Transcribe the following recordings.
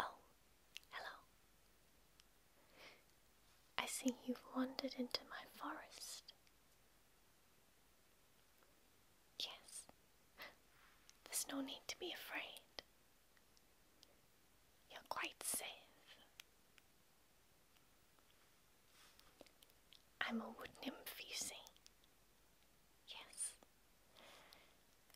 Oh, hello. I see you've wandered into my forest. Yes, there's no need to be afraid. You're quite safe. I'm a wood nymph, you see. Yes.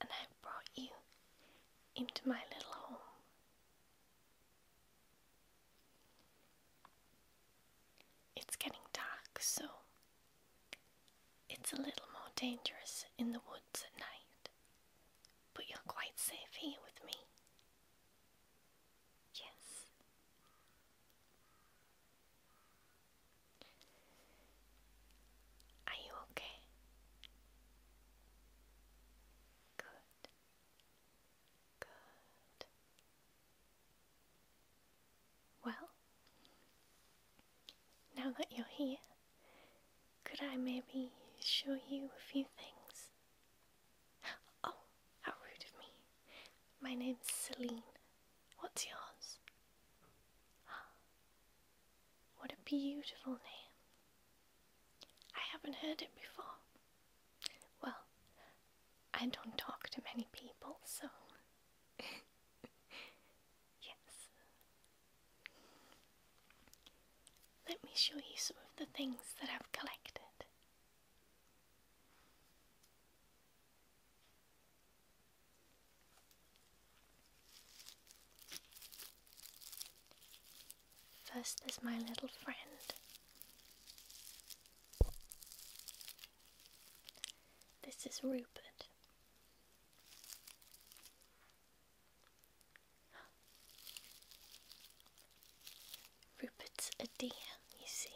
And I have brought you into my little home. It's getting dark, so it's a little more dangerous in the woods at night, but you're quite safe here with me. Yes. Are you okay? Good. Good. Well, now that you're here, could I maybe show you a few things Oh, how rude of me. My name's Celine. What's yours? What a beautiful name. I haven't heard it before. Well, I don't talk to many people, so. yes. Let me show you some of the things that I've collected. First, is my little friend. This is Rupert. Rupert's a deer. you see.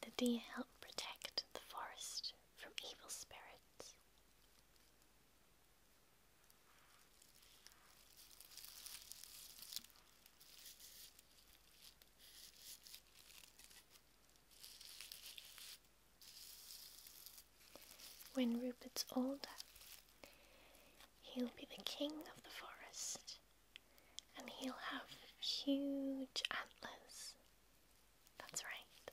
The deer help protect the forest from evil spirits. When Rupert's older, he'll be the king of the forest and he'll have huge antlers. That's right.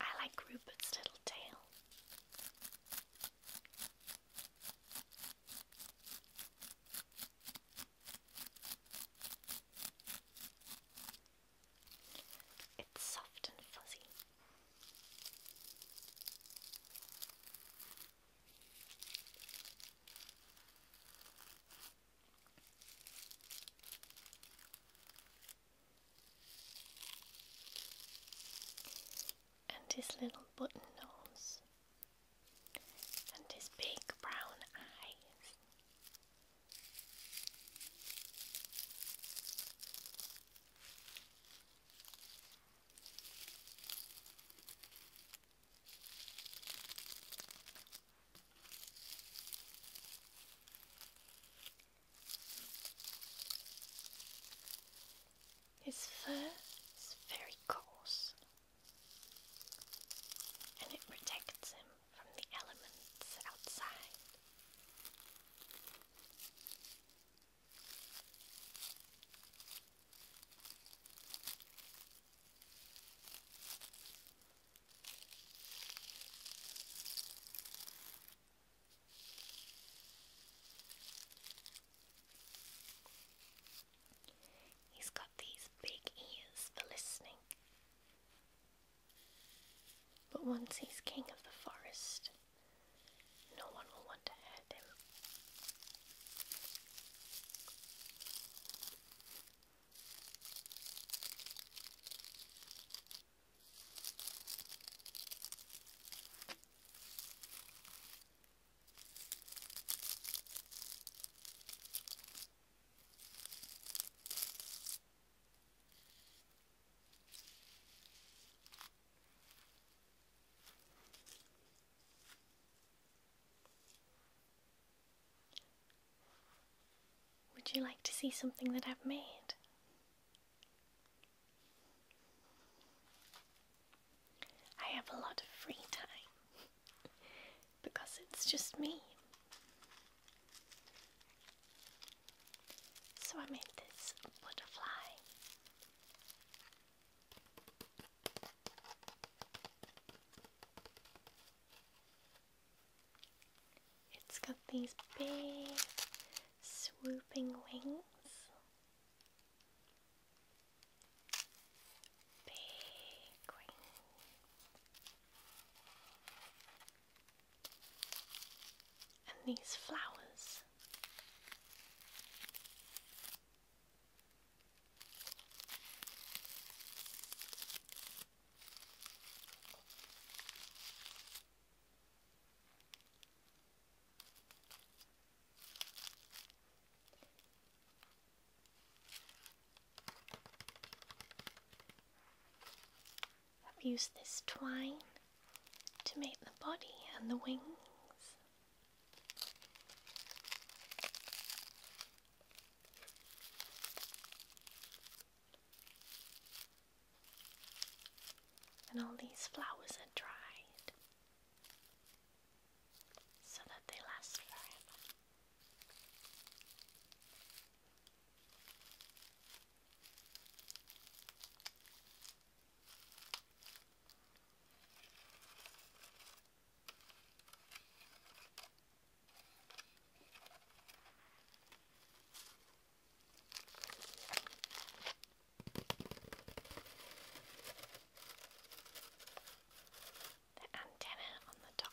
I like Rupert's little tail. It's soft and fuzzy and his little button nose, and his big brown eyes. His fur is very coarse and it protects him from the elements outside. He's got these big ears for listening. But once he's king of the forest, no one will want to hurt him. Would you like to see something that I've made? I have a lot of free time because it's just me. So I made this butterfly. It's got these big swooping wings. Big wings. And these flowers. I've used this twine to make the body and the wings. And all these flowers are dried so that they last forever. The antenna on the top.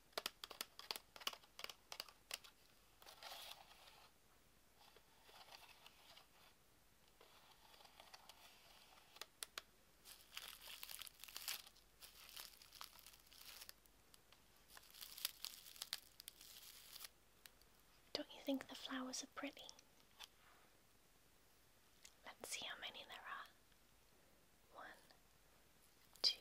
Don't you think the flowers are pretty? Let's see how many there are. One, two,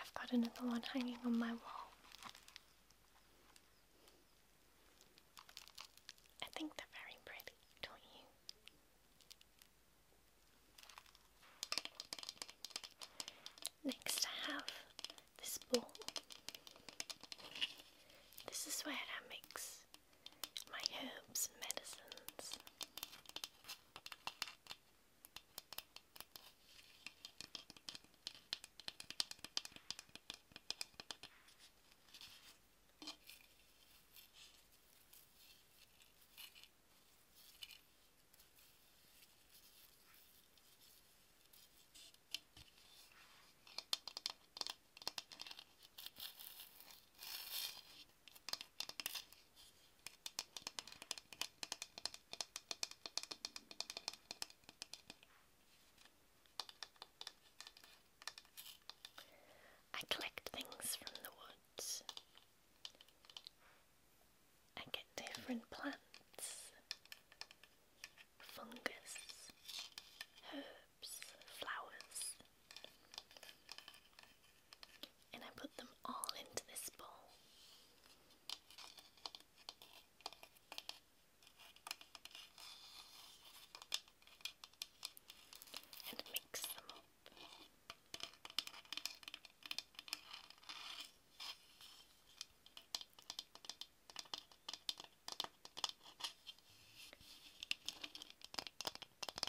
I've got another one hanging on my wall. I think they're very pretty, don't you? Next, I have this bowl. This is where I mix my herbs and medicines. I collect things from the woods. I get different plants, fungus, herbs, flowers, and I put them all into this bowl. And mix them up.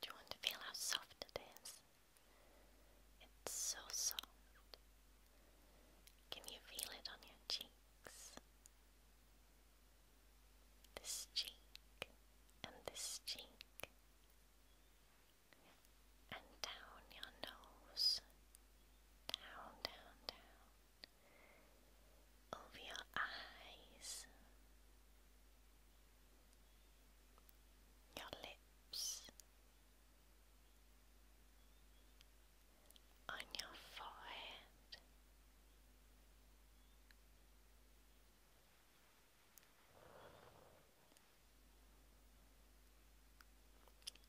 Do you want to feel how soft it is? It's so soft. Can you feel it on your cheeks? This cheek and this cheek. And down your nose. Down, down, down. Over your eyes your lips, on your forehead,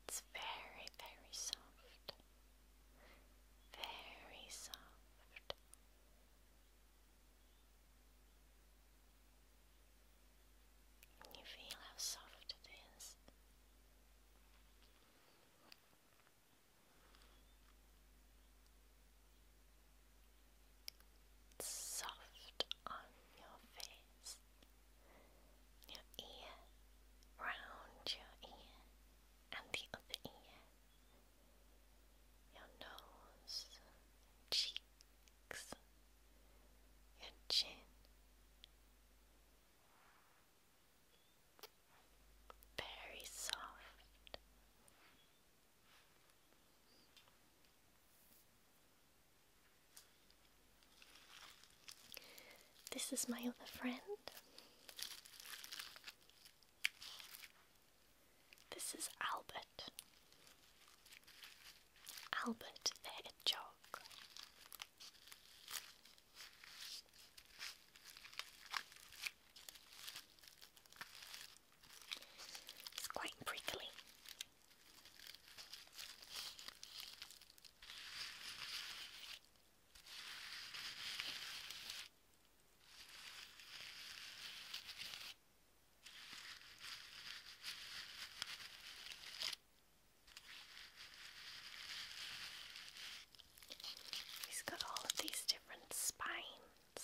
it's very, very soft, very soft you feel how soft It's soft on your face, your ear, round your ear, and the other ear, your nose, cheek your chin. Very soft. This is my other friend. This is Albert. Albert the Hedgehog. It's quite prickly. He's got all of these different spines.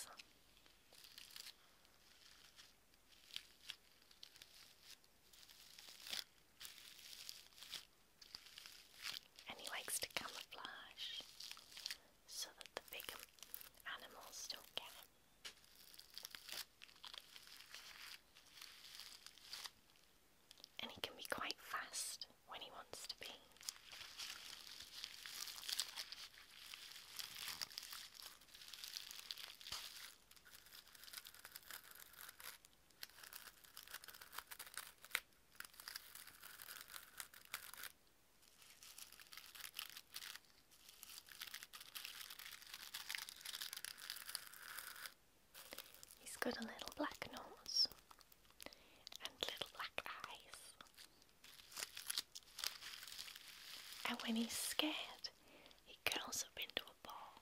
And he likes to camouflage so that the big animals don't get him. And he can be quite fast when he wants to be. He's got a little black nose and little black eyes. And when he's scared, he curls up into a ball.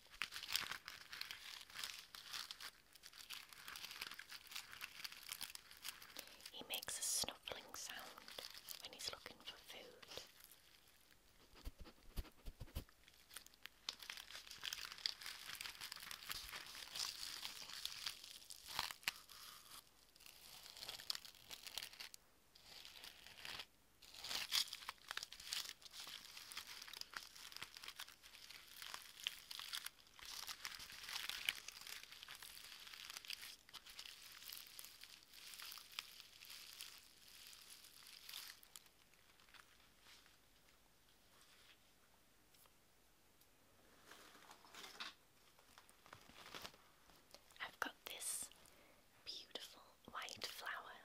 He makes a snuffling sound when he's looking for food. I've got this beautiful white flower.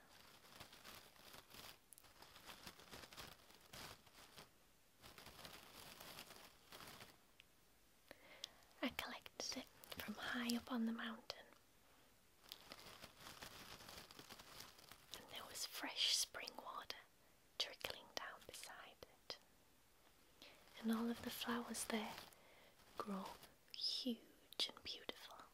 I collected it from high up on the mountain, and there was fresh spring water trickling down beside it. And all of the flowers there grow huge and beautiful.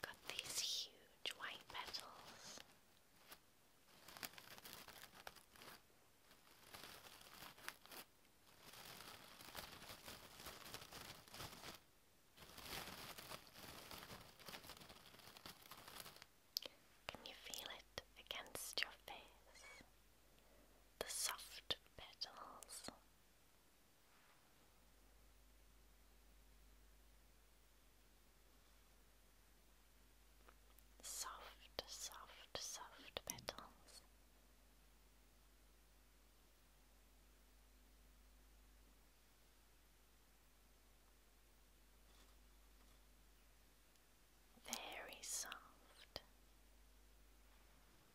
Got these huge white petals. Can you feel it against your face? The soft petals Soft, soft, soft petals. Very soft,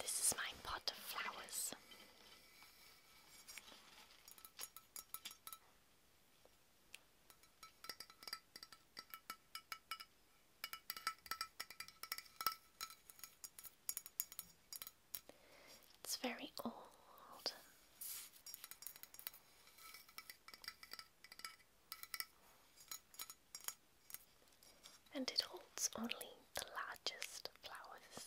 This is my pot of flowers. It's very old. And it holds only the largest flowers.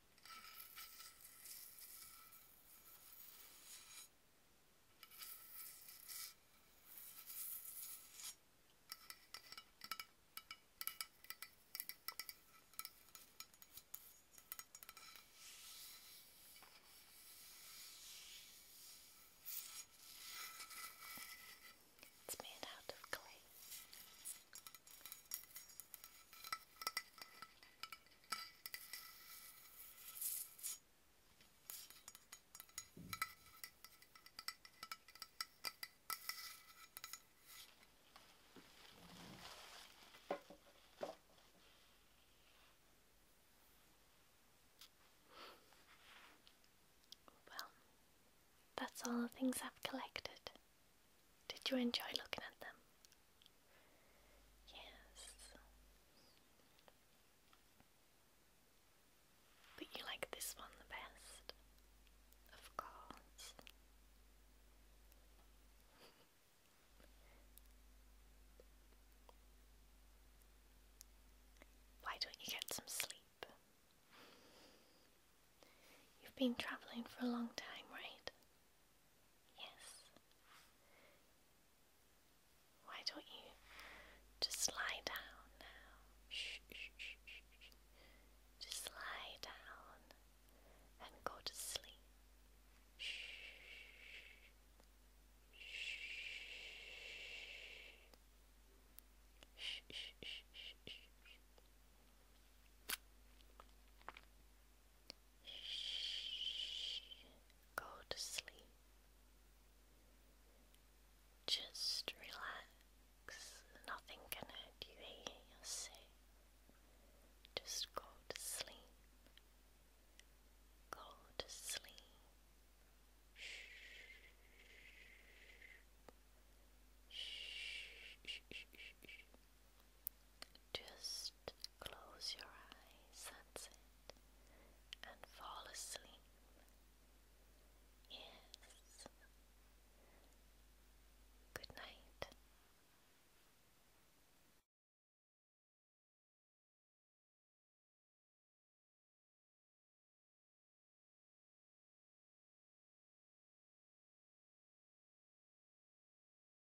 It's made out of clay. Well, that's all the things I've collected. Did you enjoy looking at them? Yes. But you like this one the best? Of course. Why don't you get some sleep? You've been travelling for a long time, right? Yes. Why don't you just lie down now? Shh, shh, shh, shh, Just lie down and go to sleep. Shh. Shh. Shh. Shh. Shh. Shh. Shh. Go to sleep. Just relax. Nothing can hurt you you're safe. Just go to sleep. Go to sleep. Shh. Shh. Shh. Shh. Just close your eyes, and fall asleep. Yes. Good night.